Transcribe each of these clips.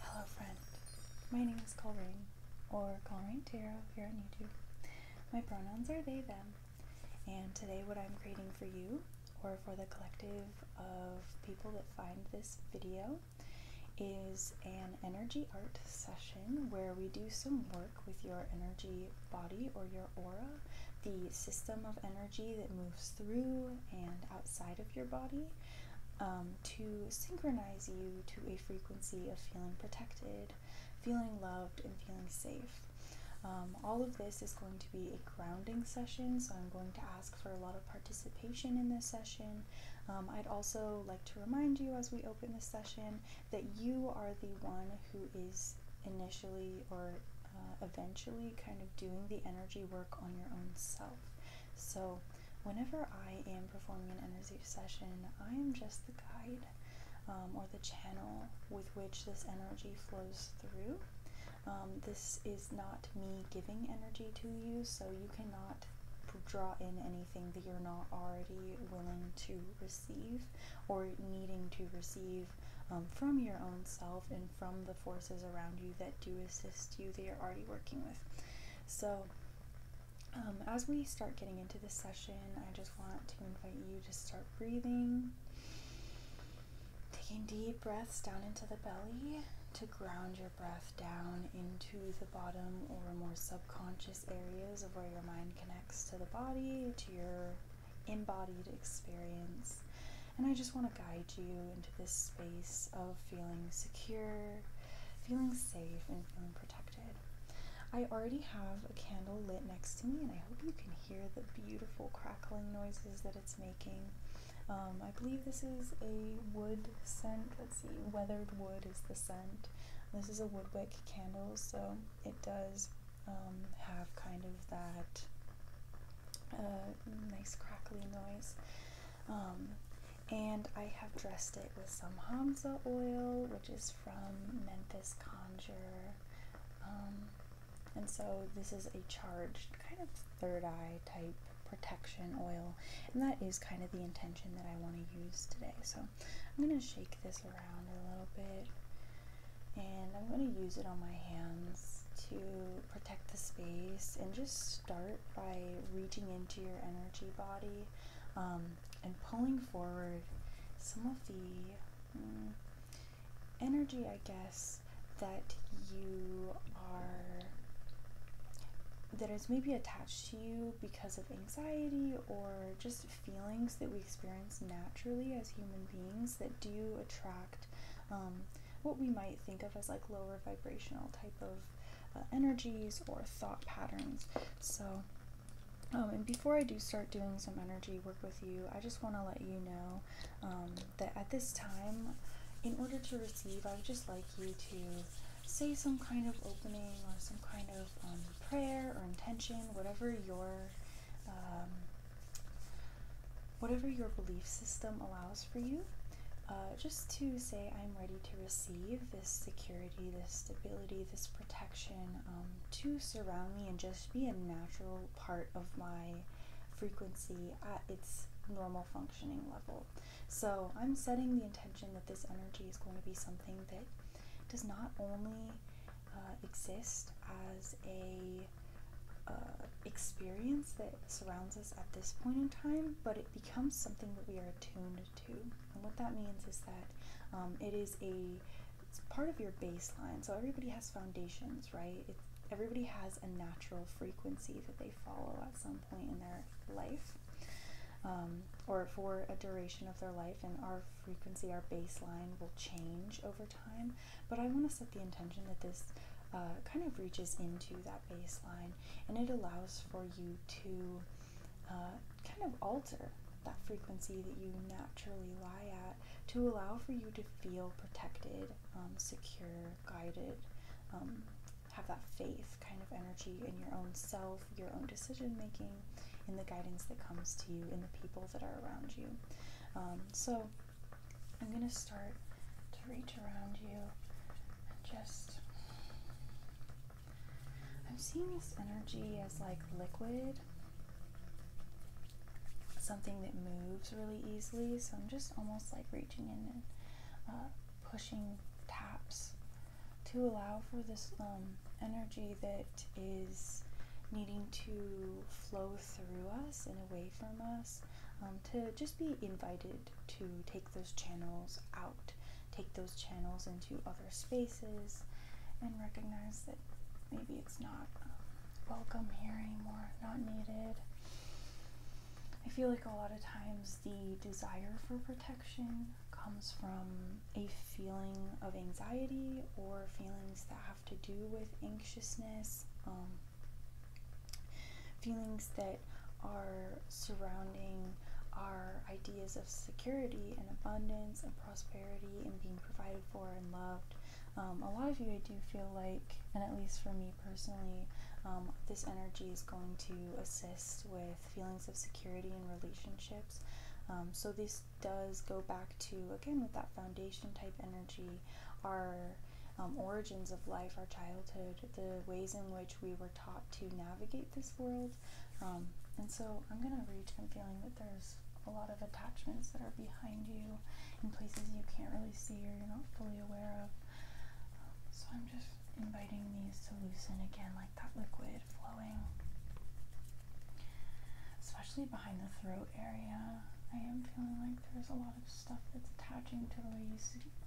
Hello, friend. My name is Colrain, or Colrain Tarot here on YouTube. My pronouns are they, them, and today what I'm creating for you, or for the collective of people that find this video, is an energy art session where we do some work with your energy body or your aura, the system of energy that moves through and outside of your body um, to synchronize you to a frequency of feeling protected, feeling loved, and feeling safe. Um, all of this is going to be a grounding session, so I'm going to ask for a lot of participation in this session. Um, I'd also like to remind you as we open the session that you are the one who is initially or uh, eventually kind of doing the energy work on your own self. So, whenever I am performing an energy session, I am just the guide um, or the channel with which this energy flows through. Um, this is not me giving energy to you, so you cannot draw in anything that you're not already willing to receive or needing to receive um, from your own self and from the forces around you that do assist you they are already working with. So, um, as we start getting into this session, I just want to invite you to start breathing, taking deep breaths down into the belly to ground your breath down into the bottom or more subconscious areas of where your mind connects to the body, to your embodied experience. And I just want to guide you into this space of feeling secure, feeling safe, and feeling protected. I already have a candle lit next to me, and I hope you can hear the beautiful crackling noises that it's making. Um, I believe this is a wood scent. Let's see, weathered wood is the scent. This is a woodwick candle, so it does um, have kind of that uh, nice crackly noise. Um, and I have dressed it with some Hamza oil, which is from Memphis Conjure. Um, and so this is a charged kind of third eye type protection oil. And that is kind of the intention that I want to use today. So I'm going to shake this a little bit and I'm going to use it on my hands to protect the space and just start by reaching into your energy body um, and pulling forward some of the mm, energy, I guess, that you are that is maybe attached to you because of anxiety or just feelings that we experience naturally as human beings that do attract um, what we might think of as like lower vibrational type of uh, energies or thought patterns. So, um, and before I do start doing some energy work with you, I just want to let you know um, that at this time, in order to receive, I would just like you to say some kind of opening or some kind of prayer or intention, whatever your whatever your belief system allows for you, uh, just to say, I'm ready to receive this security, this stability, this protection um, to surround me and just be a natural part of my frequency at its normal functioning level. So I'm setting the intention that this energy is going to be something that does not only uh, exist as a uh, experience that surrounds us at this point in time, but it becomes something that we are attuned to. And what that means is that um, it is a it's part of your baseline. So everybody has foundations, right? everybody has a natural frequency that they follow at some point in their life. Um, or for a duration of their life, and our frequency, our baseline will change over time, but I want to set the intention that this uh, kind of reaches into that baseline and it allows for you to uh, kind of alter that frequency that you naturally lie at to allow for you to feel protected, um, secure, guided. Um, have that faith kind of energy in your own self, your own decision making, in the guidance that comes to you, in the people that are around you. Um, so I'm going to start to reach around you and just. I'm seeing this energy as like liquid, something that moves really easily. So I'm just almost like reaching in and uh, pushing taps to allow for this um, energy that is needing to flow through us and away from us, um, to just be invited to take those channels out, take those channels into other spaces, and recognize that maybe it's not um, welcome here anymore, not needed. I feel like a lot of times the desire for protection comes from a feeling of anxiety or feelings that have to do with anxiousness, um, feelings that are surrounding our ideas of security and abundance and prosperity and being provided for and loved. Um, a lot of you, I do feel like, and at least for me personally, um, this energy is going to assist with feelings of security in relationships. so, these does go back to, again, with that foundation type energy, our um, origins of life, our childhood, the ways in which we were taught to navigate this world. Um, and so I'm going to reach, I'm feeling that there's a lot of attachments that are behind you in places you can't really see or you're not fully aware of. so I'm just inviting these to loosen again, like that liquid flowing especially behind the throat area. I am feeling like there's a lot of stuff that's attaching to the way you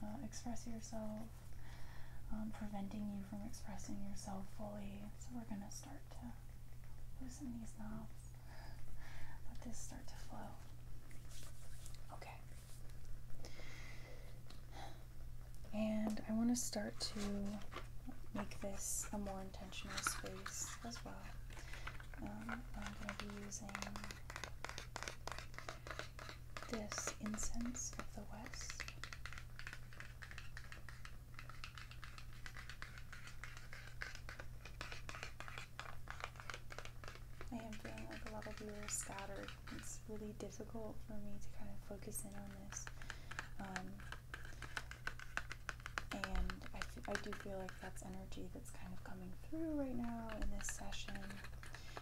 uh, express yourself, um, preventing you from expressing yourself fully. So we're gonna start to loosen these knots, let this start to flow. Okay. And I want to start to make this a more intense space as well. Um, I'm going to be using this Incense of the West. I am feeling like a lot of you are scattered. It's really difficult for me to kind of focus in on this. Um, and I, do feel like that's energy that's kind of coming through right now in this session.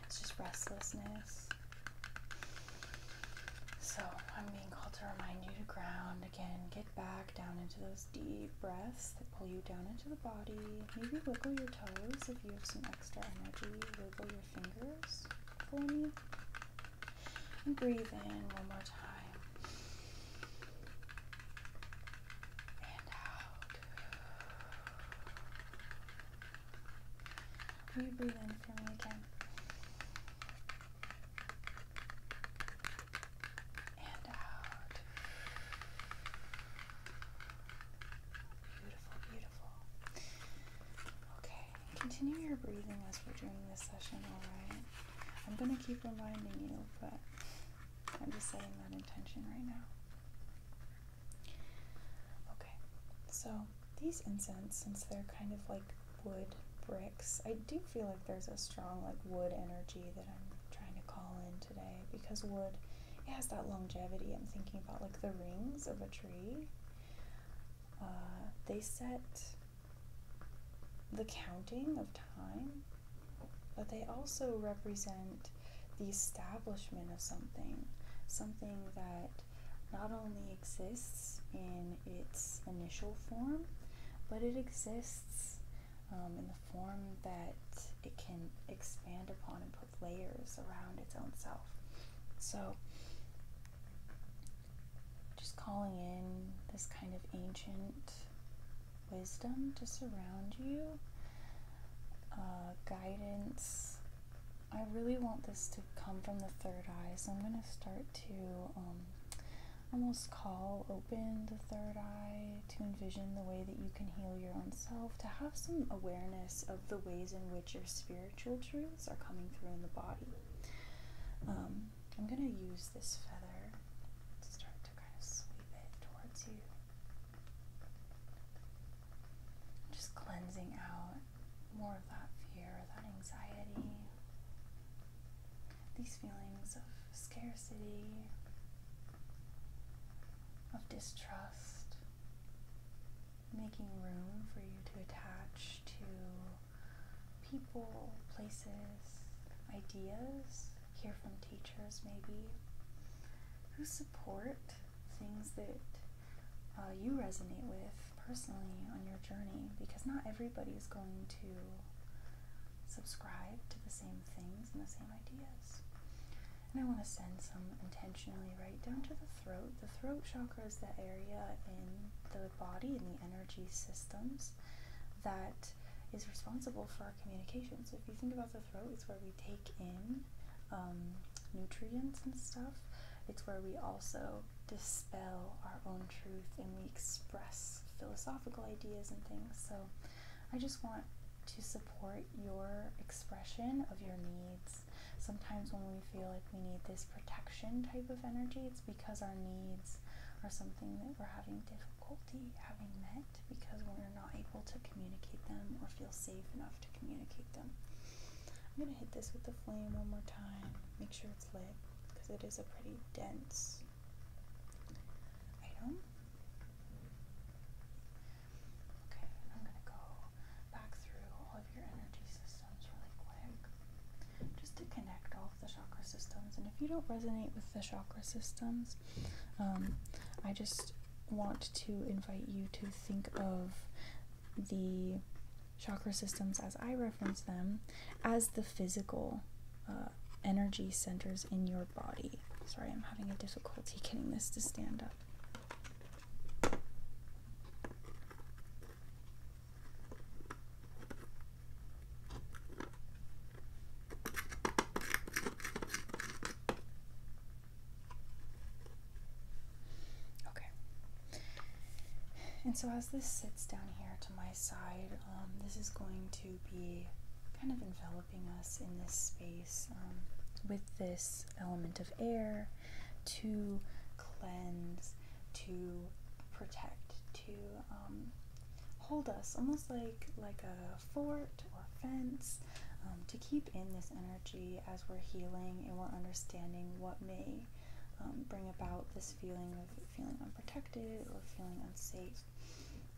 It's just restlessness. So I'm being called to remind you to ground again. Get back down into those deep breaths that pull you down into the body. Maybe wiggle your toes if you have some extra energy. Wiggle your fingers for me. And breathe in one more time and out. you breathe in for me again? And out. Beautiful, beautiful. Okay, continue your breathing as we're doing this session, alright? I'm gonna keep reminding you, but I'm just setting that intention right now. Okay, so these incense, since they're kind of like wood bricks, I do feel like there's a strong like wood energy that I'm trying to call in today because wood it has that longevity. I'm thinking about like the rings of a tree. Uh, they set the counting of time but they also represent the establishment of something, something that not only exists in its initial form, but it exists um, in the form that it can expand upon and put layers around its own self. So, just calling in this kind of ancient wisdom to surround you, uh, guidance. I really want this to come from the third eye, so I'm going to start to um, almost call open the third eye to envision the way that you can heal your own self, to have some awareness of the ways in which your spiritual truths are coming through in the body. Um, I'm going to use this feather to start to kind of sweep it towards you. Just cleansing out more of that fear, that anxiety, these feelings of scarcity, of distrust, making room for you to attach to people, places, ideas Hear from teachers maybe who support things that uh, you resonate with personally on your journey because not everybody is going to subscribe to the same things and the same ideas. And I want to send some intentionally right down to the throat. The throat chakra is the area in the body and the energy systems that is responsible for communication. So if you think about the throat, it's where we take in um, nutrients and stuff. It's where we also dispel our own truth and we express philosophical ideas and things. So I just want to support your expression of your needs. Sometimes when we feel like we need this protection type of energy, it's because our needs are something that we're having difficulty having met it because we're not able to communicate them or feel safe enough to communicate them. I'm going to hit this with the flame one more time. Make sure it's lit because it is a pretty dense item. Okay, I'm going to go back through all of your energy systems really quick just to connect all of the chakra systems. And if you don't resonate with the chakra systems, um, I just want to invite you to think of the chakra systems as I reference them as the physical uh, energy centers in your body. Sorry, I'm having a difficulty getting this to stand up. Okay. And so as this sits down here to my side, um, this is going to be kind of enveloping us in this space um, with this element of air to cleanse, to protect, to um, hold us, almost like like a fort or fence, um, to keep in this energy as we're healing and we're understanding what may um, bring about this feeling of feeling unprotected or feeling unsafe,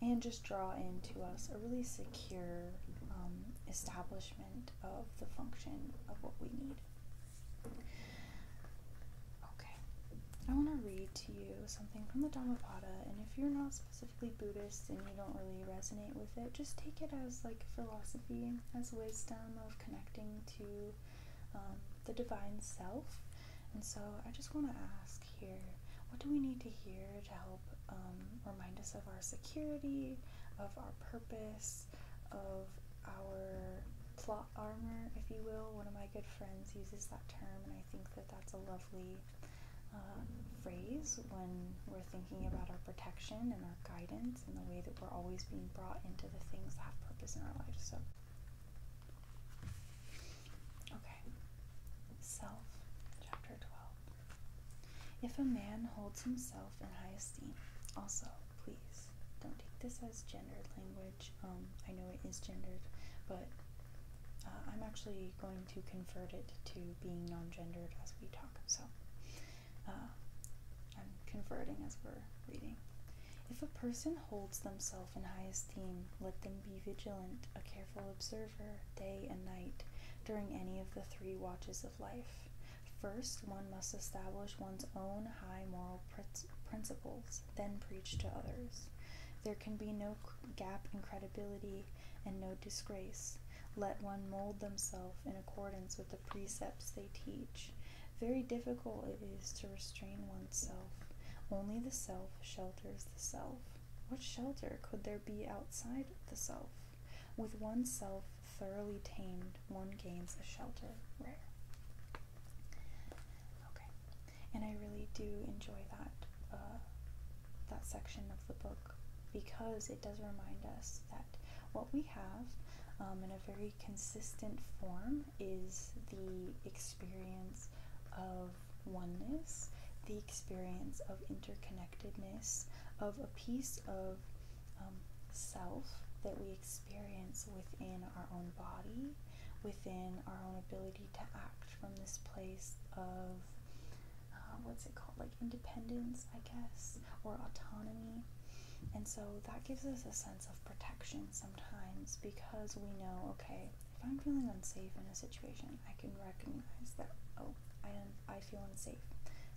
and just draw into us a really secure um, establishment of the function of what we need. Okay, I want to read to you something from the Dhammapada, and if you're not specific Buddhist and you don't really resonate with it, just take it as like philosophy, as wisdom of connecting to um, the divine self. And so I just want to ask here what do we need to hear to help um, remind us of our security, of our purpose, of our plot armor, if you will? One of my good friends uses that term, and I think that that's a lovely uh, phrase when we're thinking about our protection and our guidance and the way that we're always being brought into the things that have purpose in our life. So, okay, self, chapter 12. If a man holds himself in high esteem, also, please don't take this as gendered language. Um, I know it is gendered, but uh, I'm actually going to convert it to being non-gendered as we talk, so uh, I'm converting as we're reading. If a person holds themselves in high esteem, let them be vigilant, a careful observer, day and night, during any of the three watches of life. First, one must establish one's own high moral principles, then preach to others. There can be no gap in credibility and no disgrace. Let one mold themselves in accordance with the precepts they teach. Very difficult it is to restrain oneself. Only the self shelters the self. What shelter could there be outside the self? With oneself thoroughly tamed, one gains a shelter rare and I really do enjoy that uh, that section of the book because it does remind us that what we have um, in a very consistent form is the experience of oneness, the experience of interconnectedness, of a piece of um, self that we experience within our own body, within our own ability to act from this place of um, what's it called, like independence, I guess, or autonomy. And so that gives us a sense of protection sometimes because we know, okay, if I'm feeling unsafe in a situation, I can recognize that, oh, I, am, I feel unsafe.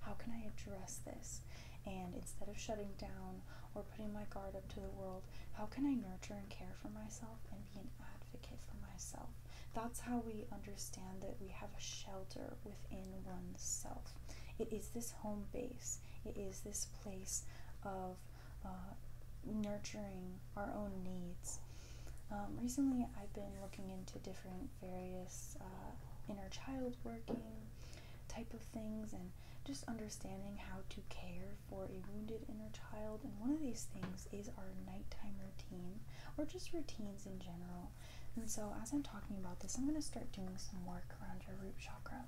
How can I address this? And instead of shutting down or putting my guard up to the world, how can I nurture and care for myself and be an advocate for myself? That's how we understand that we have a shelter within oneself. It is this home base, it is this place of uh, nurturing our own needs. Um, recently, I've been looking into different various uh, inner child working type of things and just understanding how to care for a wounded inner child. And one of these things is our nighttime routine or just routines in general. And so, as I'm talking about this, I'm going to start doing some work around your root chakra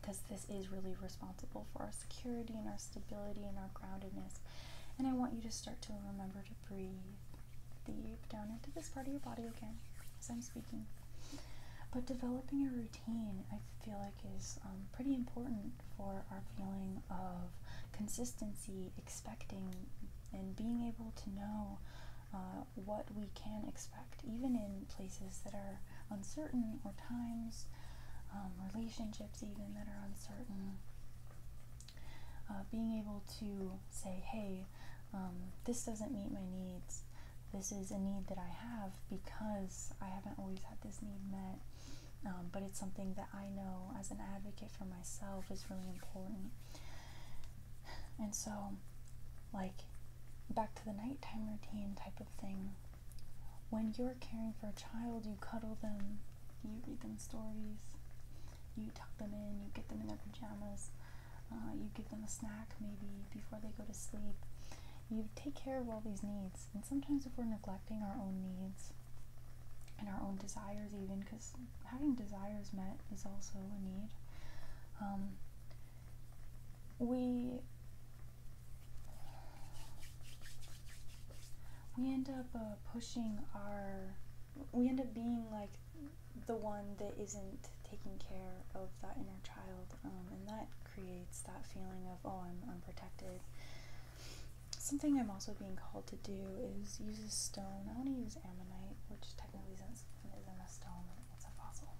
because this is really responsible for our security and our stability and our groundedness. And I want you to start to remember to breathe deep down into this part of your body again as I'm speaking. But developing a routine, I feel like, is um, pretty important for our feeling of consistency, expecting, and being able to know uh, what we can expect, even in places that are uncertain or times, um, relationships even that are uncertain. Uh, being able to say, hey, um, this doesn't meet my needs. This is a need that I have because I haven't always had this need met. Um, but it's something that I know as an advocate for myself is really important. And so, like, back to the nighttime routine type of thing. When you're caring for a child, you cuddle them, you read them stories, you tuck them in, you get them in their pajamas, uh, you give them a snack maybe before they go to sleep. You take care of all these needs, and sometimes if we're neglecting our own needs, and our own desires, even because having desires met is also a need. Um, we we end up uh, pushing our we end up being like the one that isn't taking care of that inner child um, and that creates that feeling of oh i'm unprotected Something I'm also being called to do is use a stone. I want to use ammonite, which technically isn't, isn't a stone, it's a fossil.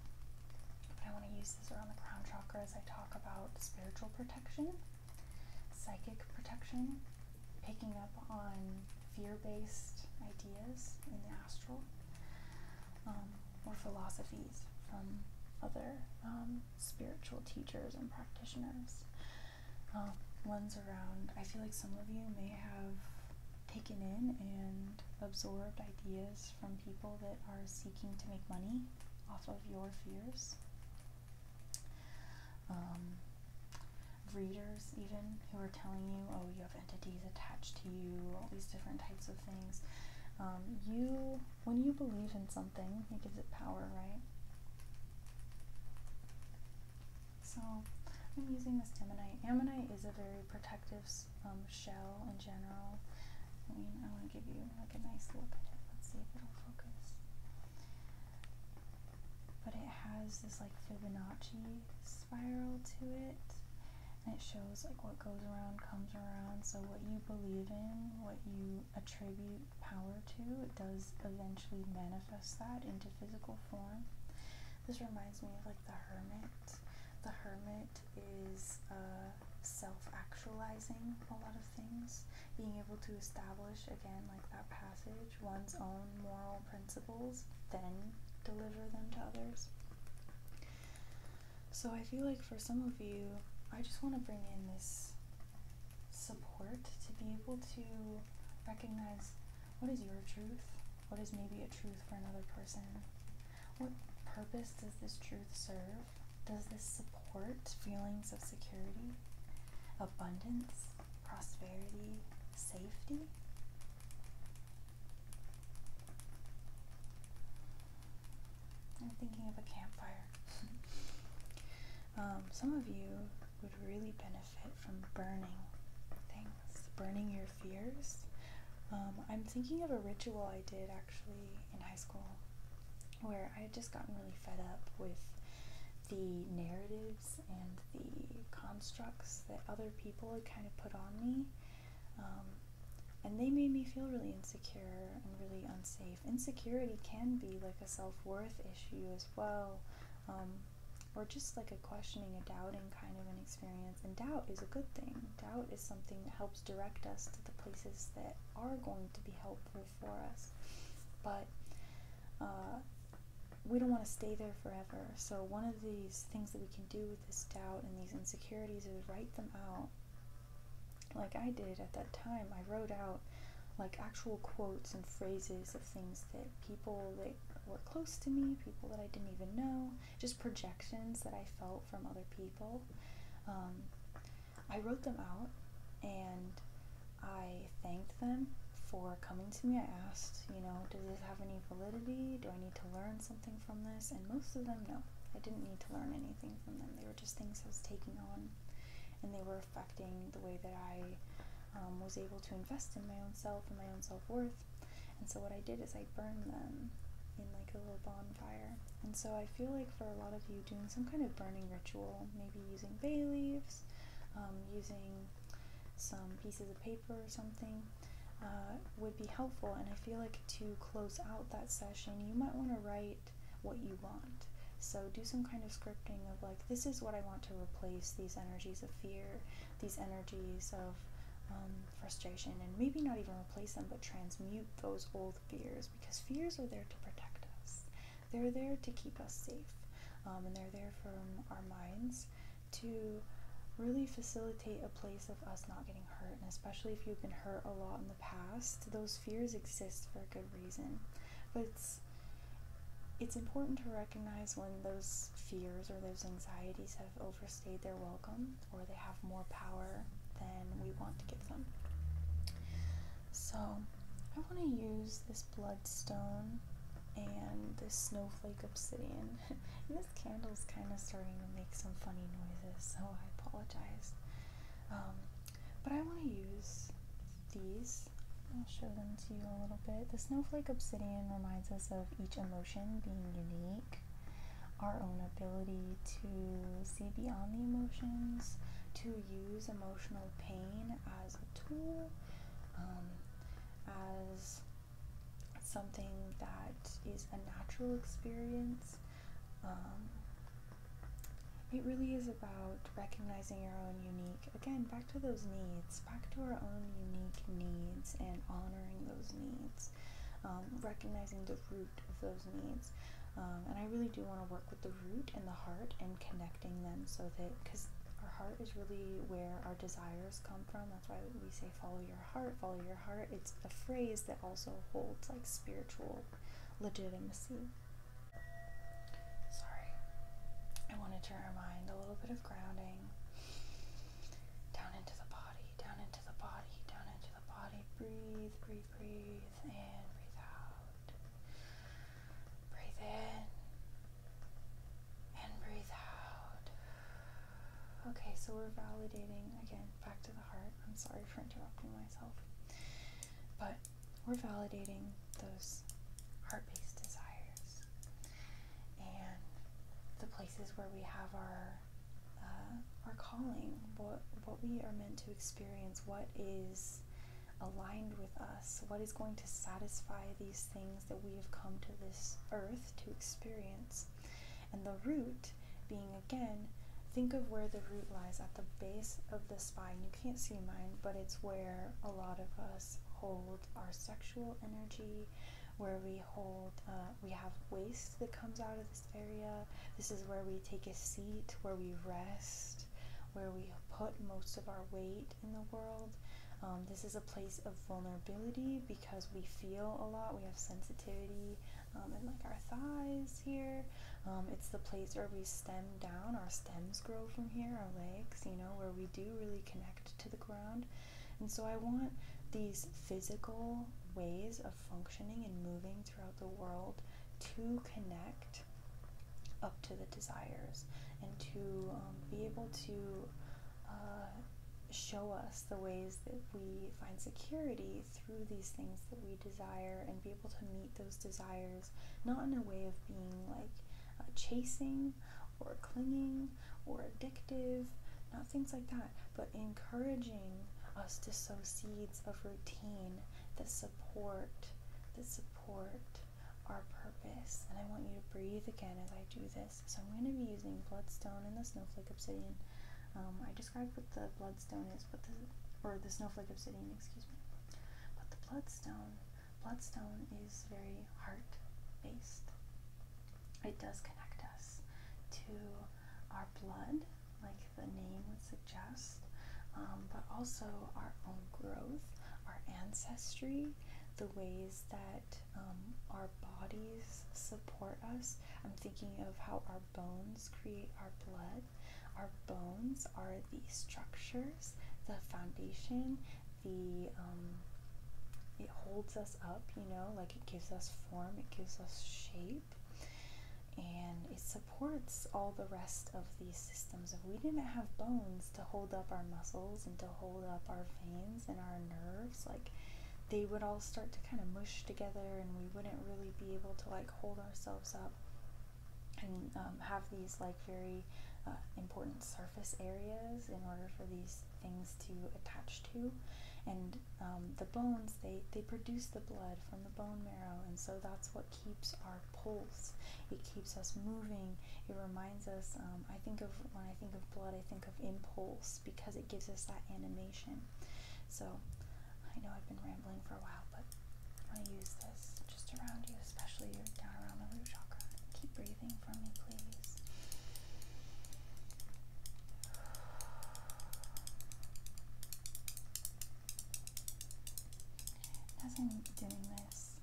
But I want to use this around the crown chakra as I talk about spiritual protection, psychic protection, picking up on fear based ideas in the astral, um, or philosophies from other um, spiritual teachers and practitioners um, ones around. I feel like some of you may have taken in and absorbed ideas from people that are seeking to make money off of your fears. Um, readers, even, who are telling you, oh, you have entities attached to you, all these different types of things. Um, you, when you believe in something, it gives it power, right? So I'm using this ammonite. Ammonite is a very protective um, shell in general. I mean, I want to give you like a nice look at it. Let's see if it'll focus. But it has this like Fibonacci spiral to it. And it shows like what goes around comes around. So what you believe in, what you attribute power to, it does eventually manifest that into physical form. This reminds me of like the hermit. The hermit is uh, self-actualizing a lot of things, being able to establish again like that passage one's own moral principles, then deliver them to others. So I feel like for some of you, I just want to bring in this support to be able to recognize what is your truth, what is maybe a truth for another person, what purpose does this truth serve, does this support feelings of security, abundance, prosperity, safety. I'm thinking of a campfire. Um, some of you would really benefit benefit from burning things, burning your fears. Um, I'm thinking of a ritual I did actually in high school where I had just gotten really fed up with the narratives and the constructs that other people had kind of put on me. Um, and they made me feel really insecure and really unsafe. Insecurity can be like a self worth issue as well, um, or just like a questioning, a doubting kind of an experience. And doubt is a good thing. Doubt is something that helps direct us to the places that are going to be helpful for us. But uh, we don't want to stay there forever. So, one of these things that we can do with this doubt and these insecurities is write them out. Like I did at that time, I wrote out like actual quotes and phrases of things that people that were close to me, people that I didn't even know, just projections that I felt from other people. Um, I wrote them out and I thanked them for coming to me. I asked, you know, does this have any validity? Do I need to learn something from this? And most of them, no. I didn't need to learn anything from them. They were just things I was taking on and they were affecting the way that I um, was able to invest in my own self and my own self worth. And so, what I did is I burned them in like a little bonfire. And so, I feel like for a lot of you, doing some kind of burning ritual, maybe using bay leaves, um, using some pieces of paper or something. Uh, would be helpful, and I feel like to close out that session, you might want to write what you want. So do some kind of scripting of like, this is what I want to replace these energies of fear, these energies of um, frustration, and maybe not even replace them, but transmute those old fears because fears are there to protect us. They're there to keep us safe, um, and they're there from our minds to really facilitate a place of us not getting hurt. And especially if you've been hurt a lot in the past, those fears exist for a good reason. it's it's important to recognize when those fears or those anxieties have overstayed their welcome or they have more power than we want to give them. So, I want to use this bloodstone and this snowflake obsidian. and this is kind of starting to make some funny noises, so I apologize. Um, but I want to use these. I'll show them to you a little bit. The snowflake obsidian reminds us of each emotion being unique, our own ability to see beyond the emotions, to use emotional pain as a tool, um, as something that is a natural experience. Um, it really is about recognizing your own unique, again, back to those needs, back to our own unique needs and honoring those needs, um, recognizing the root of those needs. Um, and I really do want to work with the root and the heart and connecting them so that, because our heart is really where our desires come from. That's why we say follow your heart, follow your heart. It's a phrase that also holds like spiritual legitimacy. Sorry. I wanted to remind a little bit of grounding down into the body, down into the body, down into the body. Breathe, breathe, breathe in, breathe out. Breathe in and breathe out. Okay, so we're validating again back to the heart. I'm sorry for interrupting myself, but we're validating those heart based desires and the places where we have our uh, our calling, what what we are meant to experience, what is aligned with us, what is going to satisfy these things that we have come to this earth to experience. And the root being again, think of where the root lies at the base of the spine. You can't see mine, but it's where a lot of us hold our sexual energy, where we hold, uh, we have waste that comes out of this area. This is where we take a seat, where we rest, where we put most of our weight in the world. Um, this is a place of vulnerability because we feel a lot. We have sensitivity and um, like our thighs here. Um, it's the place where we stem down. Our stems grow from here, our legs, you know, where we do really connect to the ground. And so I want these physical ways of functioning and moving throughout the world to connect up to the desires and to um, be able to uh, show us the ways that we find security through these things that we desire and be able to meet those desires not in a way of being like uh, chasing or clinging or addictive, not things like that, but encouraging us to sow seeds of routine the support the support our purpose. And I want you to breathe again as I do this. So I'm going to be using bloodstone and the snowflake obsidian. Um, I described what the bloodstone is, but the or the snowflake obsidian, excuse me. But the bloodstone Bloodstone is very heart based. It does connect us to our blood, like the name would suggest, um, but also our own growth, our ancestry, the ways that um, our bodies support us. I'm thinking of how our bones create our blood. Our bones are the structure the foundation, the um, it holds us up, you know, like it gives us form, it gives us shape, and it supports all the rest of these systems. If we didn't have bones to hold up our muscles and to hold up our veins and our nerves, like they would all start to kind of mush together and we wouldn't really be able to like hold ourselves up and um, have these like very uh, important surface areas in order for these things to attach to. And um, the bones, they, they produce the blood from the bone marrow, and so that's what keeps our pulse. It keeps us moving. It reminds us, um, I think of, when I think of blood, I think of impulse because it gives us that animation. So I know I've been rambling for a while, but I'm going to use this just around you, especially you're down around the root chakra. Keep breathing. As I'm doing this,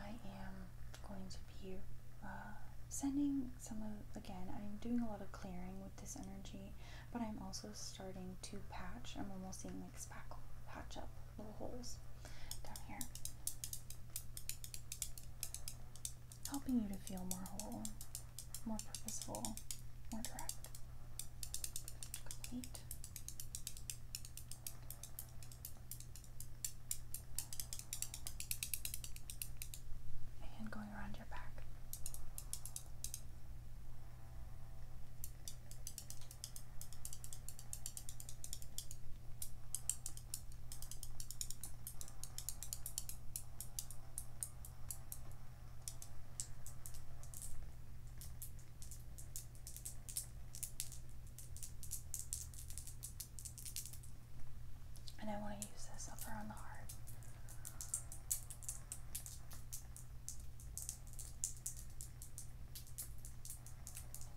I am going to be uh, sending some of, again, I'm doing a lot of clearing with this energy, but I'm also starting to patch. I'm almost seeing like spackle, patch up little holes down here. Helping you to feel more whole, more purposeful, more direct, complete. And going around your back. And I want to use this up around the heart.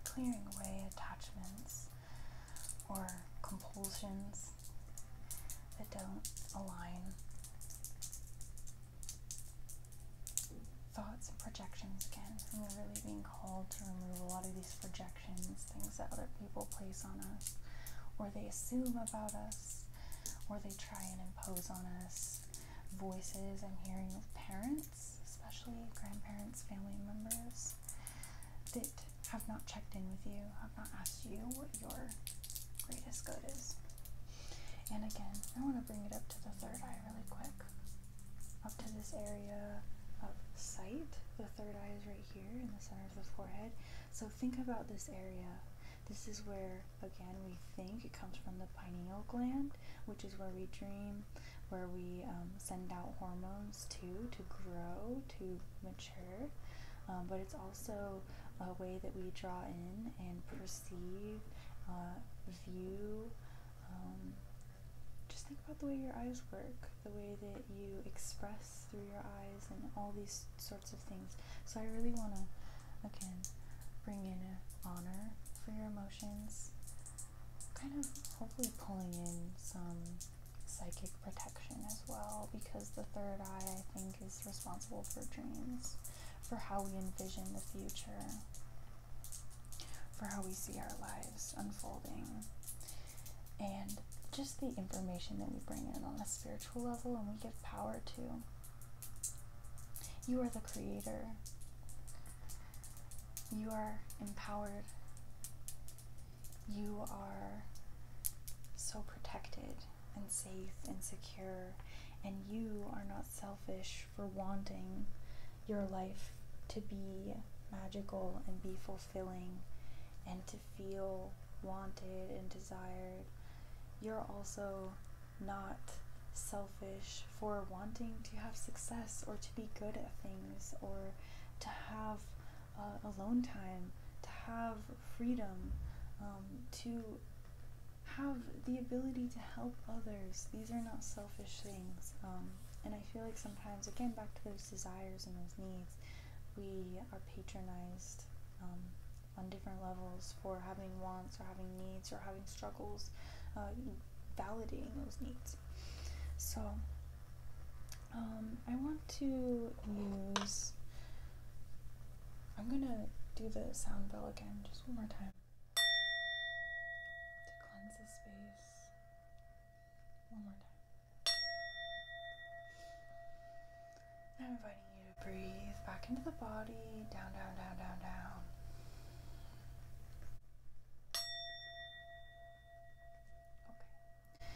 Clearing away attachments or compulsions that don't align. Thoughts and projections again. And we're really being called to remove a lot of these projections, things that other people place on us, or they assume about us, or they try and impose on us. Voices and hearing of parents especially grandparents, family members that have not checked in with you, have not asked you what your greatest good is. And again, I want to bring it up to the third eye really quick. Up to this area of sight. The third eye is right here in the center of the forehead. So think about this area. This is where, again, we think it comes from the pineal gland, which is where we dream, where we um, send out hormones too to grow, to mature. Um, but it's also a way that we draw in and perceive, uh, view. Um, just think about the way your eyes work, the way that you express through your eyes, and all these sorts of things. So I really want to, again, bring in honor for your emotions. Kind of hopefully pulling in some psychic protection as well because the third eye, I think, is responsible for dreams, for how we envision the future, for how we see our lives unfolding, and just the information that we bring in on a spiritual level and we give power to. You are the creator. You are empowered you are so protected and safe and secure, and you are not selfish for wanting your life to be magical and be fulfilling and to feel wanted and desired. You're also not selfish for wanting to have success or to be good at things or to have uh, alone time, to have freedom, um, to have the ability to help others. These are not selfish things. Um, and I feel like sometimes, again, back to those desires and those needs, we are patronized um, on different levels for having wants or having needs or having struggles, uh, validating those needs. So um, I want to use. I'm gonna do the sound bell again, just one more time. To cleanse the space. One more time. I'm inviting you to breathe back into the body, down, down, down, down, down. Okay.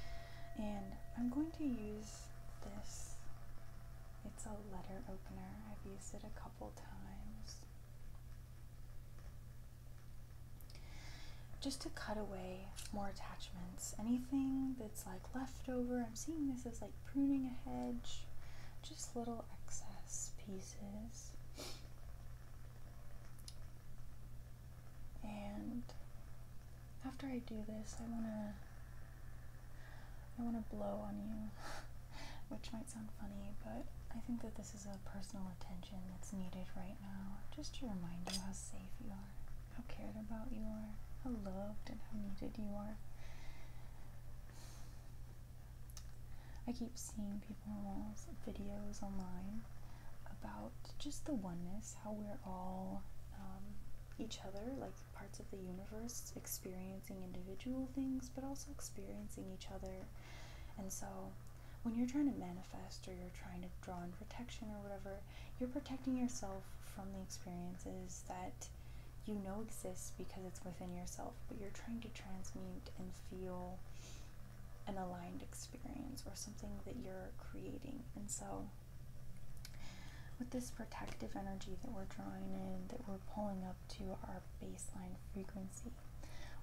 And I'm going to use this. It's a letter opener. I've used it a couple times. Just to cut away more attachments. Anything that's like leftover. I'm seeing this as like pruning a hedge. Just little excess pieces. And after I do this, I wanna I wanna blow on you, which might sound funny, but I think that this is a personal attention that's needed right now, just to remind you how safe you are, how cared about you are, how loved and how needed you are. I keep seeing people's videos online about just the oneness how we're all um, each other, like parts of the universe, experiencing individual things, but also experiencing each other. And so, when you're trying to manifest or you're trying to draw in protection or whatever, you're protecting yourself from the experiences that you know exists because it's within yourself, but you're trying to transmute and feel an aligned experience or something that you're creating. And so, with this protective energy that we're drawing in, that we're pulling up to our baseline frequency,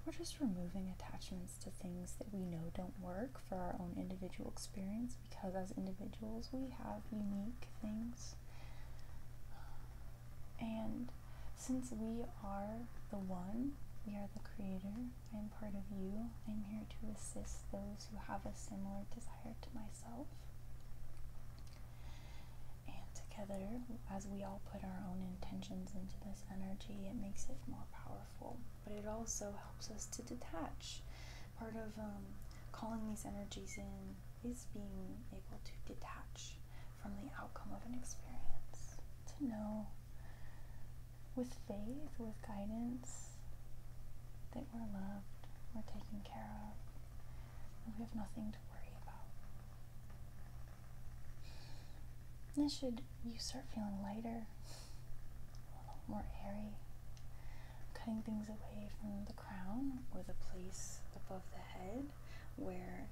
we're just removing attachments to things that we know don't work for our own individual experience because as individuals we have unique things. And since we are the one, we are the creator, I am part of you. I am here to assist those who have a similar desire to myself. And together, as we all put our own intentions into this energy, it makes it more powerful. But it also helps us to detach. Part of um, calling these energies in is being able to detach from the outcome of an experience, to know with faith, with guidance, that we're loved, we're taken care of, and we have nothing to worry about. This should you start feeling lighter, a little more airy, cutting things away from the crown or the place above the head where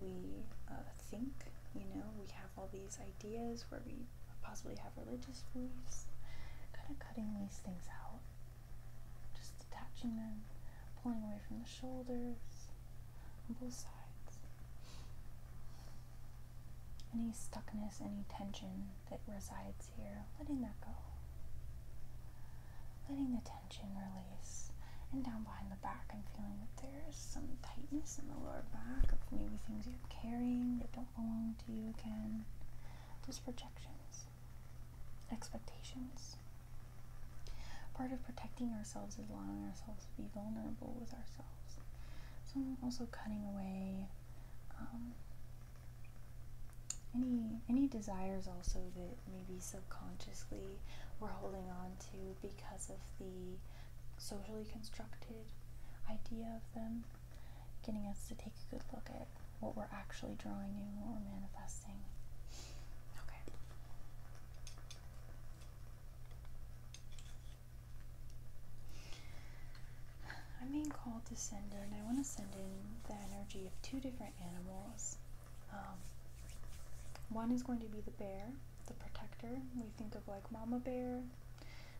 we uh, think, you know, we have all these ideas where we possibly have religious beliefs. Kind of cutting these things out, just detaching them, pulling away from the shoulders on both sides. Any stuckness, any tension that resides here, letting that go. Letting the tension release. And down behind the back, I'm feeling that there's some tightness in the lower back of maybe things you caring, that don't belong to you again. Just projections, expectations. Part of protecting ourselves is allowing ourselves to be vulnerable with ourselves. So also cutting away um, any any desires also that maybe subconsciously we're holding on to because of the socially constructed idea of them getting us to take a good look at what we're actually drawing in, what we're manifesting. Okay. I'm being called to send in, I want to send in the energy of two different animals. Um, one is going to be the bear, the protector. We think of like mama bear,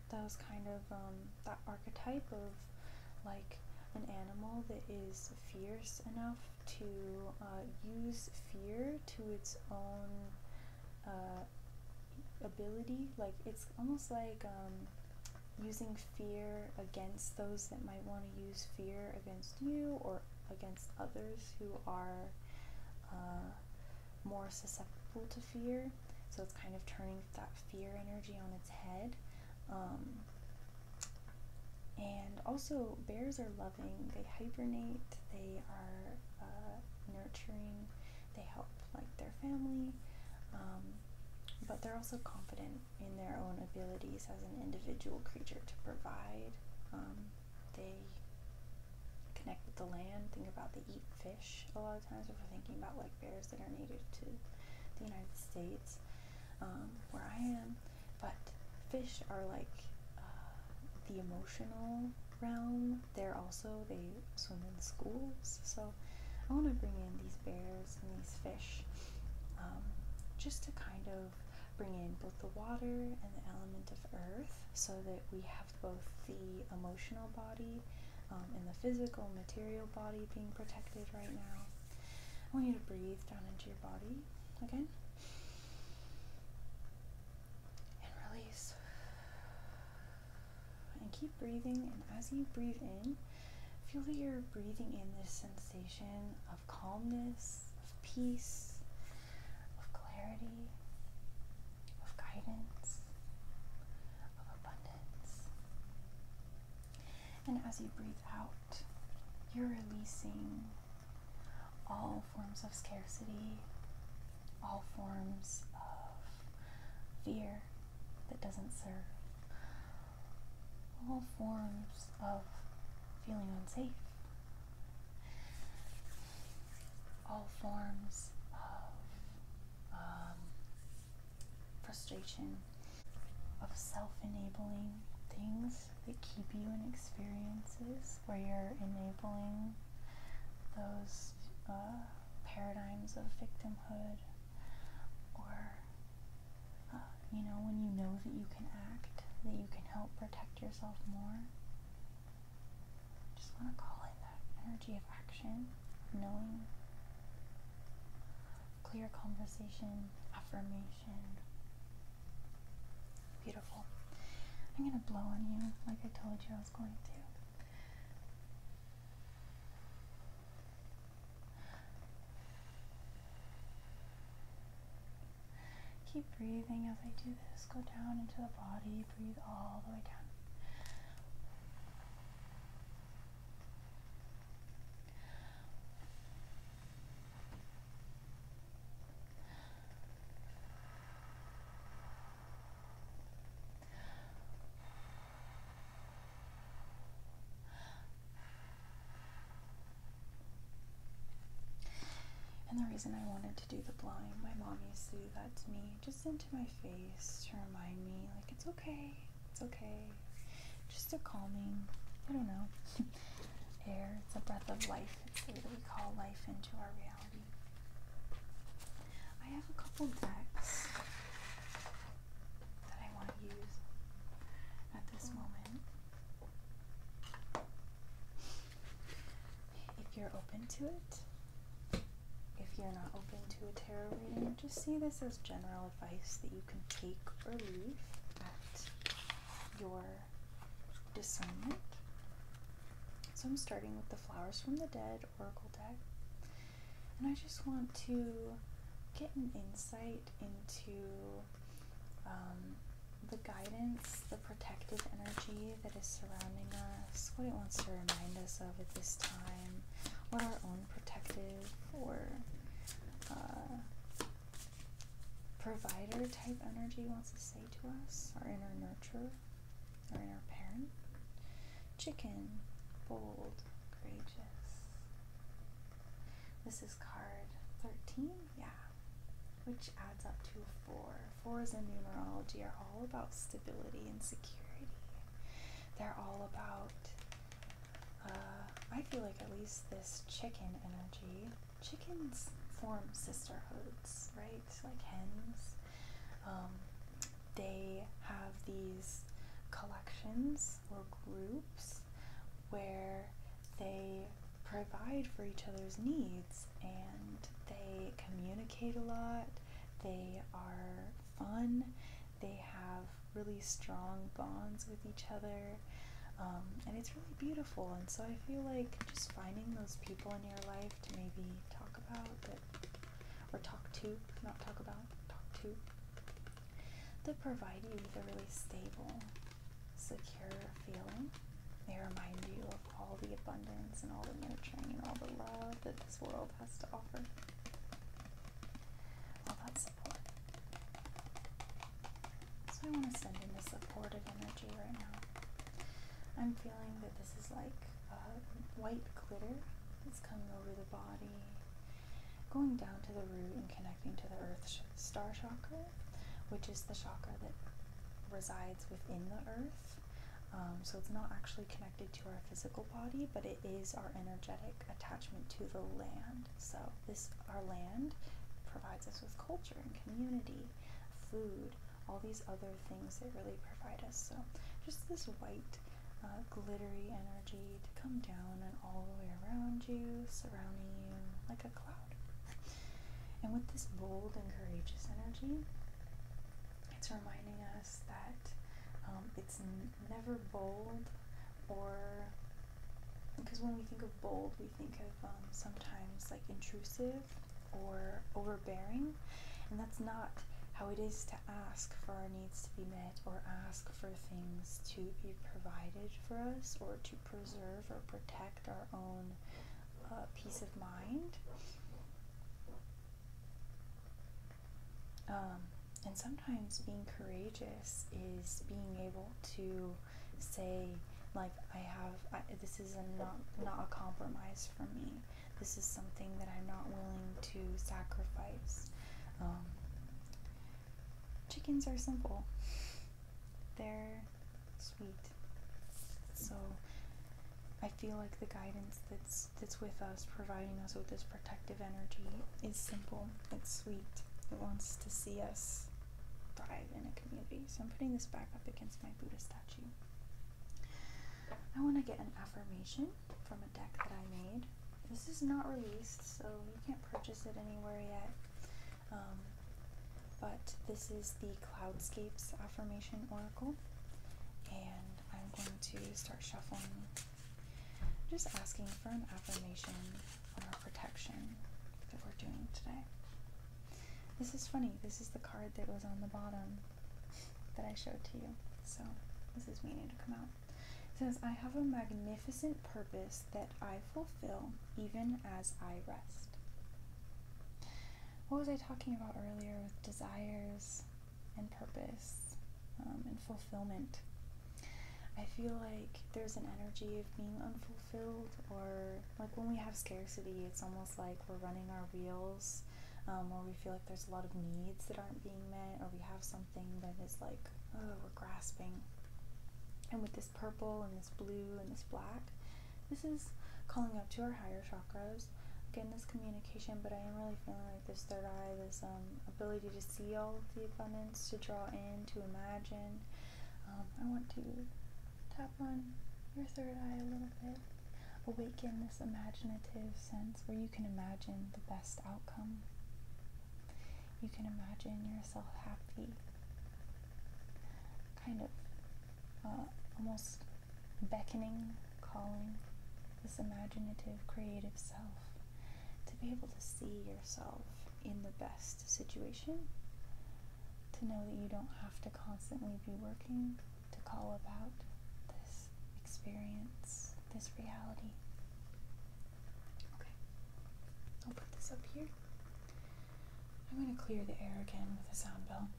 that was kind of um, that archetype of like an animal that is fierce enough to uh, use fear to its own uh, ability. Like it's almost like um, using fear against those that might want to use fear against you or against others who are uh, more susceptible to fear. So it's kind of turning that fear energy on its head. Um, and also, bears are loving. They hibernate. They are uh, nurturing. They help like their family. Um, but they're also confident in their own abilities as an individual creature to provide. Um, they connect with the land. Think about they eat fish a lot of times if we're thinking about like bears that are native to the United States, um, where I am. But fish are like uh, the emotional realm. They're also they swim in schools. So I want to bring in these bears and these fish, um, just to kind of bring in both the water and the element of earth, so that we have both the emotional body um, and the physical, material body being protected right now. I want you to breathe down into your body again and release. And keep breathing, and as you breathe in, feel that you're breathing in this sensation of calmness, of peace, of clarity of guidance, of abundance. And as you breathe out, you're releasing all forms of scarcity, all forms of fear that doesn't serve, all forms of feeling unsafe all forms of um, frustration, of self enabling things that keep you in experiences where you're enabling those uh, paradigms of victimhood or uh, you know when you know that you can act that you can help protect yourself more just want to call it that energy of action, knowing, clear conversation, affirmation. Beautiful. I'm going to blow on you like I told you I was going to. Keep breathing as I do this. Go down into the body, breathe all the way down. And the reason I wanted to do the blowing, my mom used to do that to me, just in into my face to remind me, like, it's okay, it's okay. Just a calming, I don't know, air. It's a breath of life. It's what we call life into our reality. I have a couple decks that I want to use at this moment. If you're open to it, if you're not open to a tarot reading, just see this as general advice that you can take or leave at your discernment. So I'm starting with the Flowers from the Dead Oracle deck. And I just want to get an insight into um, the guidance, the protective energy that is surrounding us, what it wants to remind us of at this time, what our own um, protective or uh, provider type energy wants to say to us, our inner nurturer, our inner parent. Chicken, bold, courageous. This is card 13, yeah, which adds up to 4. 4 in numerology, are all about stability and security. They're all about, uh, I feel like at least this chicken energy. Chickens form sisterhoods, right? Like hens. Um, they have these collections or groups where they provide for each other's needs and they communicate a lot, they are fun, they have really strong bonds with each other, um, and it's really beautiful. And so I feel like just finding those people in your life to maybe talk about or talk to, not talk about, talk to, that provide you with a really stable, secure feeling. They remind you of all the abundance and all the nurturing and all the love that this world has to offer. Well, that's support. So I want to send in the supportive energy right now. I'm feeling that this is like uh, white glitter that's coming over the body, going down to the root and connecting to the earth star chakra, which is the chakra that resides within the earth. Um, so it's not actually to our physical body, but it is our energetic attachment to the land. So this our land provides us with culture and community, food, all these other things that really provide us. So just this white uh, glittery energy to come down and all the way around you, surrounding you like a cloud. And with this bold and courageous energy, it's reminding us that um, it's never bold or because when we think of bold we think of um, sometimes like intrusive or overbearing and that's not how it is to ask for our needs to be met or ask for things to be provided for us or to preserve or protect our own uh, peace of mind um, and sometimes being courageous is being able to say, like, I have, this is not, not a compromise for me. This is something that I'm not willing to sacrifice. Um, chickens are simple, they're sweet. So I feel like the guidance that's that's with us, providing us with this protective energy, is simple. It's sweet. It wants to see us thrive in a community. So I'm putting this back up against my Buddha statue. I want to get an affirmation from a deck that I made. This is not released, so you can't purchase it anywhere yet. Um, but this is the Cloudscapes Affirmation Oracle, and I'm going to start shuffling I'm just asking for an affirmation or protection that we're doing today. This is funny. This is the card that was on the bottom that I showed to you. So this is meaning to come out. It says, I have a magnificent purpose that I fulfill even as I rest. What was I talking about earlier with desires and purpose um, and fulfillment. I feel like there's an energy of being unfulfilled, or like when we have scarcity, it's almost like we're running our wheels, or um, we feel like there's a lot of needs that aren't being met, or we have something that is like, oh, we're grasping. And with this purple and this blue and this black, this is calling up to our higher chakras. Again, this communication, but I am really feeling this third eye, this um, ability to see all of the abundance, to draw in, to imagine. Um, I want to tap on your third eye a little bit, awaken this imaginative sense where you can imagine the best outcome. You can imagine yourself happy, kind of uh, almost beckoning, calling this imaginative, creative self to be able to see yourself in the best situation, to know that you don't have to constantly be working to call about this experience, this reality. Okay, I'll put this up here. I'm going to clear the air again with a sound bell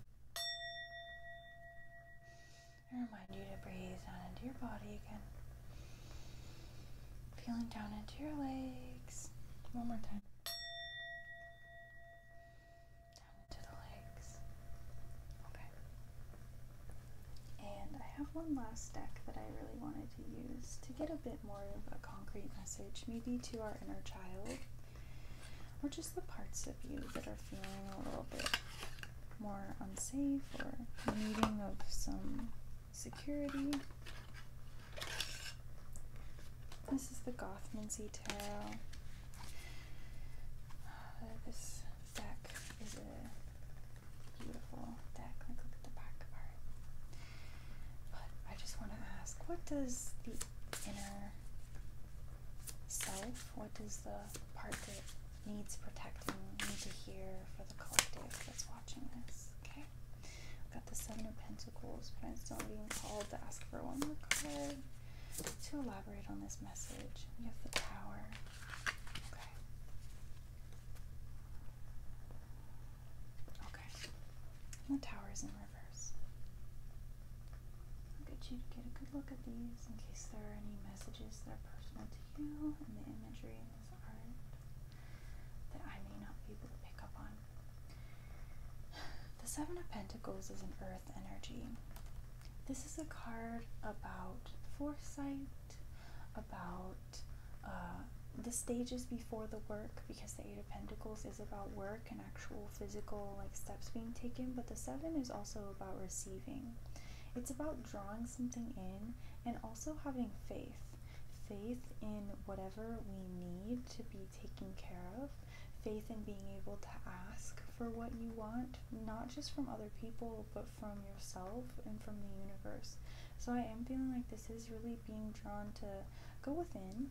and remind you to breathe down into your body again. Feeling down into your legs. One more time. Down into the legs. Okay. And I have one last deck that I really wanted to use to get a bit more of a concrete message, maybe to our inner child, or just the parts of you that are feeling a little bit more unsafe or needing of some security. This is the Gothmancy Tarot. Uh, this deck is a beautiful deck. Like, look at the back part. But I just want to ask, what does the inner self, what does the part that needs protecting. We need to hear for the collective that's watching this. Okay. We've got the Seven of Pentacles, but I'm still being called to ask for one more card to elaborate on this message. We have the Tower. Okay. Okay. the Tower is in reverse. I'll get you to get a good look at these in case there are any messages that are personal to you and the imagery in this that I may not be able to pick up on. The Seven of Pentacles is an earth energy. This is a card about foresight, about uh, the stages before the work, because the Eight of Pentacles is about work and actual physical like steps being taken, but the Seven is also about receiving. It's about drawing something in and also having faith faith in whatever we need to be taken care of faith in being able to ask for what you want not just from other people but from yourself and from the universe so i am feeling like this is really being drawn to go within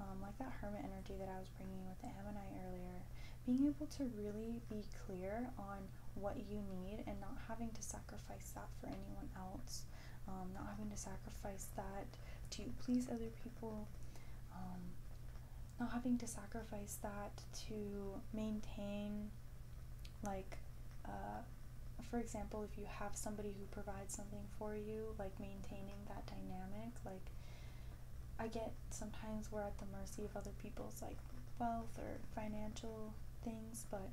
um, like that hermit energy that i was bringing with the ammonite earlier being able to really be clear on what you need and not having to sacrifice sacrifice that for anyone else, um, not having to sacrifice that to please other people, um, not having to sacrifice that to maintain, like, uh, for example, if you have somebody who provides something for you, like maintaining that dynamic, like, I get sometimes we're at the mercy of other people's, like, wealth or financial things, but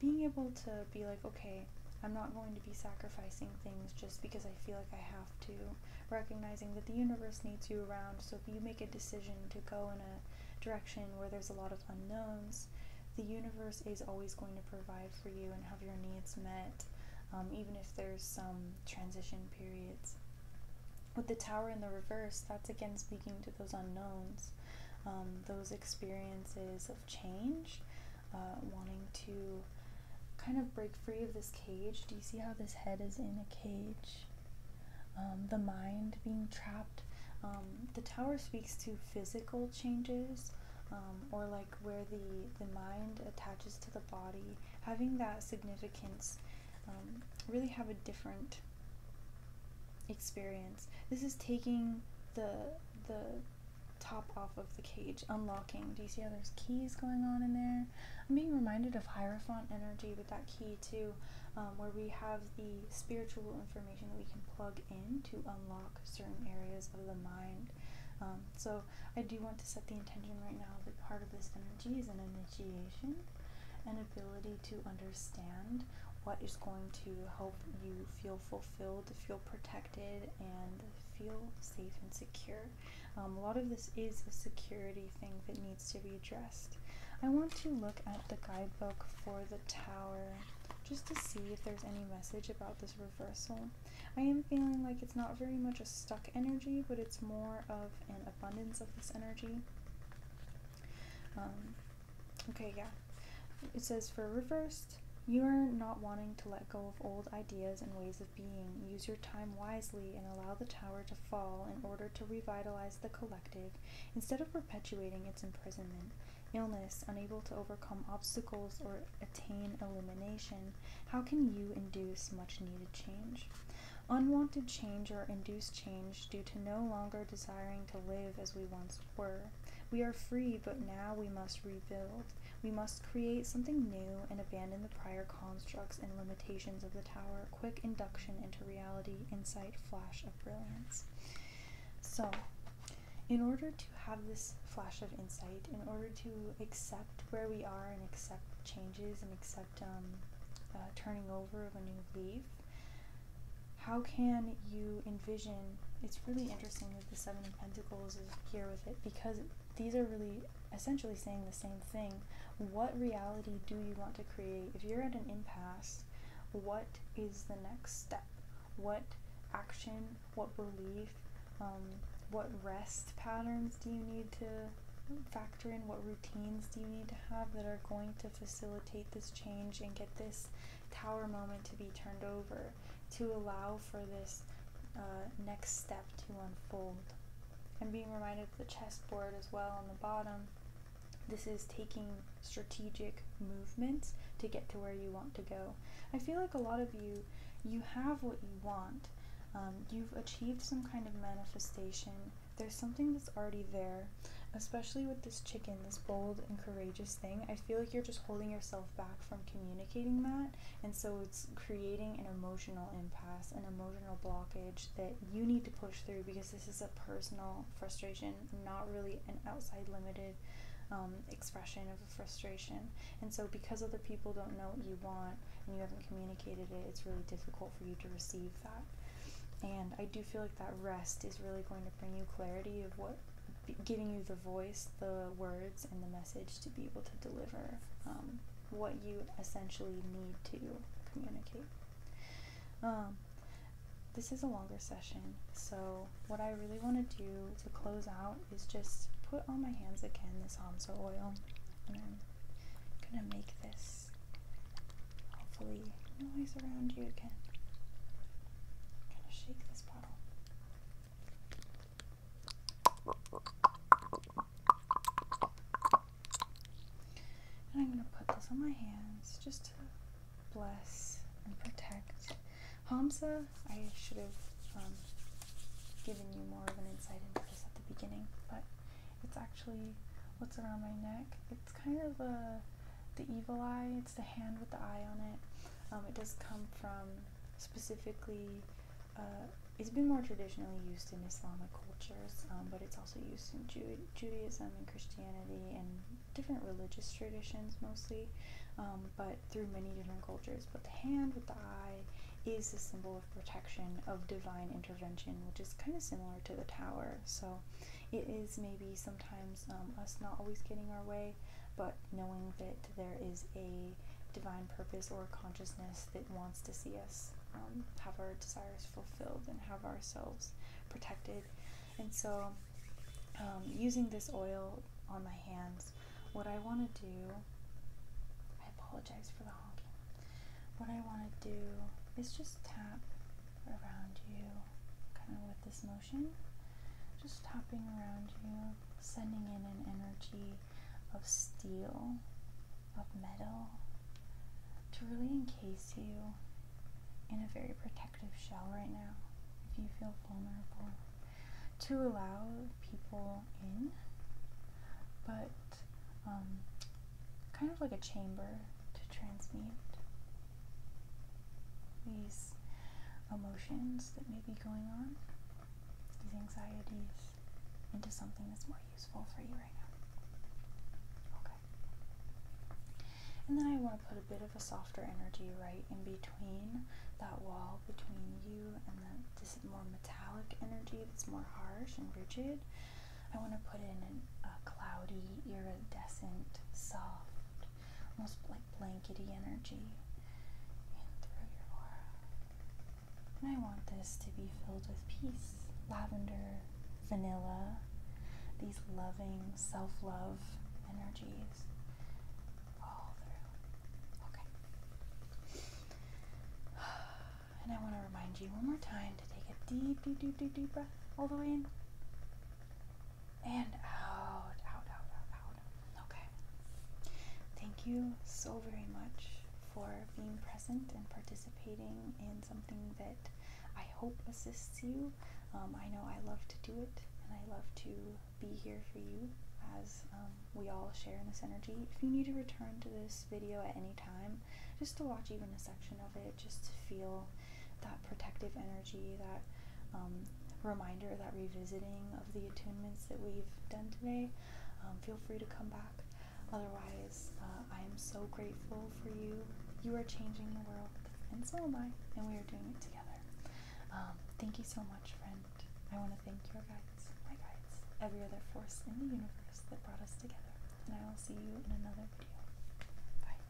being able to be like, okay, I'm not going to be sacrificing things just because I feel like I have to. Recognizing that the universe needs you around, so if you make a decision to go in a direction where there's a lot of unknowns, the universe is always going to provide for you and have your needs met, um, even if there's some transition periods. With the tower in the reverse, that's again speaking to those unknowns, um, those experiences of change, uh, wanting to kind of break free of this cage. Do you see how this head is in a cage? Um, the mind being trapped. Um, the tower speaks to physical changes. or like where the, the mind attaches to the body, having that significance really have a different experience. This is taking the the top off of the cage, unlocking. Do you see how there's keys going on in there? I'm being reminded of Hierophant energy with that key too, um, where we have the spiritual information that we can plug in to unlock certain areas of the mind. Um, so I do want to set the intention right now that part of this energy is an initiation, an ability to understand what is going to help you feel fulfilled, feel protected, and feel safe and secure. Um, a lot of this is a security thing that needs to be addressed. I want to look at the guidebook for the tower just to see if there's any message about this reversal. I am feeling like it's not very much a stuck energy, but it's more of an abundance of this energy. Um, Okay, yeah. It says for reversed, you are not wanting to let go of old ideas and ways of being. Use your time wisely and allow the tower to fall in order to revitalize the collective instead of perpetuating its imprisonment. Illness, unable to overcome obstacles or attain illumination, how can you induce much needed change? Unwanted change or induced change due to no longer desiring to live as we once were. We are free, but now we must rebuild. We must create something new and abandon the prior constructs and limitations of the tower. Quick induction into reality, insight, flash of brilliance. So, in order to have this flash of insight, in order to accept where we are and accept changes and accept um, uh, turning over of a new leaf, how can you envision? It's really interesting that the Seven of Pentacles is here with it because these are really essentially saying the same thing. What reality do you want to create? If you're at an impasse, what is the next step? What action, what belief, um, what rest patterns do you need to factor in? What routines do you need to have that are going to facilitate this change and get this tower moment to be turned over, to allow for this uh, next step to unfold. And being reminded of the chessboard as well on the bottom. This is taking strategic movements to get to where you want to go. I feel like a lot of you, you have what you want. Um, you've achieved some kind of manifestation. There's something that's already there, especially with this chicken, this bold and courageous thing, I feel like you're just holding yourself back from communicating that. And so it's creating an emotional impasse, an emotional blockage that you need to push through because this is a personal frustration, not really an outside limited um, expression of a frustration. And so, because other people don't know what you want and you haven't communicated it, it's really difficult for you to receive that. And I do feel like that rest is really going to bring you clarity of what giving you the voice, the words, and the message to be able to deliver um, what you essentially need to communicate. Um, this is a longer session, so what I really want to do to close out is just put on my hands again this Hamsa oil, and I'm gonna make this hopefully noise around you again. I'm gonna shake this bottle. And I'm going to put this on my hands just to bless and protect. Hamza, I should have um, given you more of an insight into this at the beginning, but it's actually what's around my neck. It's kind of a, uh, the evil eye the hand with the eye on it. Um, it does come from specifically, uh, it's been more traditionally used in Islamic cultures, um, but it's also used in Judaism and Christianity and different religious traditions mostly, um, but through many different cultures. But the hand with the eye is the symbol of protection, of divine intervention, which is kind of similar to the tower. So it is maybe sometimes um, us not always getting our way, but knowing that there is a divine purpose or consciousness that wants to see us um, have our desires fulfilled and have ourselves protected. And so, um, using this oil on my hands, what I want to do, I apologize for the honking. What I want to do is just tap around you, kind of with this just tapping around you, sending in an energy of steel, of metal, to really encase you in a very protective shell right now, if you feel vulnerable, to allow people in, but um, kind of like a chamber to transmute. These emotions that may be going on, these anxieties, into something that's more useful for you right now. Okay. And then I want to put a bit of a softer energy right in between that wall between you and that this more metallic energy that's more harsh and rigid. I want to put in a cloudy, iridescent, soft, almost like blankety energy in through your aura. And I want this to be filled with peace, lavender, vanilla, these loving self love energies all through. Okay. And I want to remind you one more time to take a deep, deep, deep, deep, deep breath all the way in and out, out, out, out, out. Okay. Thank you so very much for being present and participating in something that I hope assists you. Um, I know I love to do it and I love to be here for you as um, we all share in this energy. If you need to return to this video at any time, just to watch even a section of it, just to feel that protective energy, that um, reminder, that revisiting of the attunements that we've done today, um, feel free to come back. Otherwise, uh, I am so grateful for you. You are changing the world, and so am I, and we are doing it together. Um, thank you so much, friend. I want to thank your guides, my guides, every other force in the universe that brought us together. And I will see you in another video. Bye.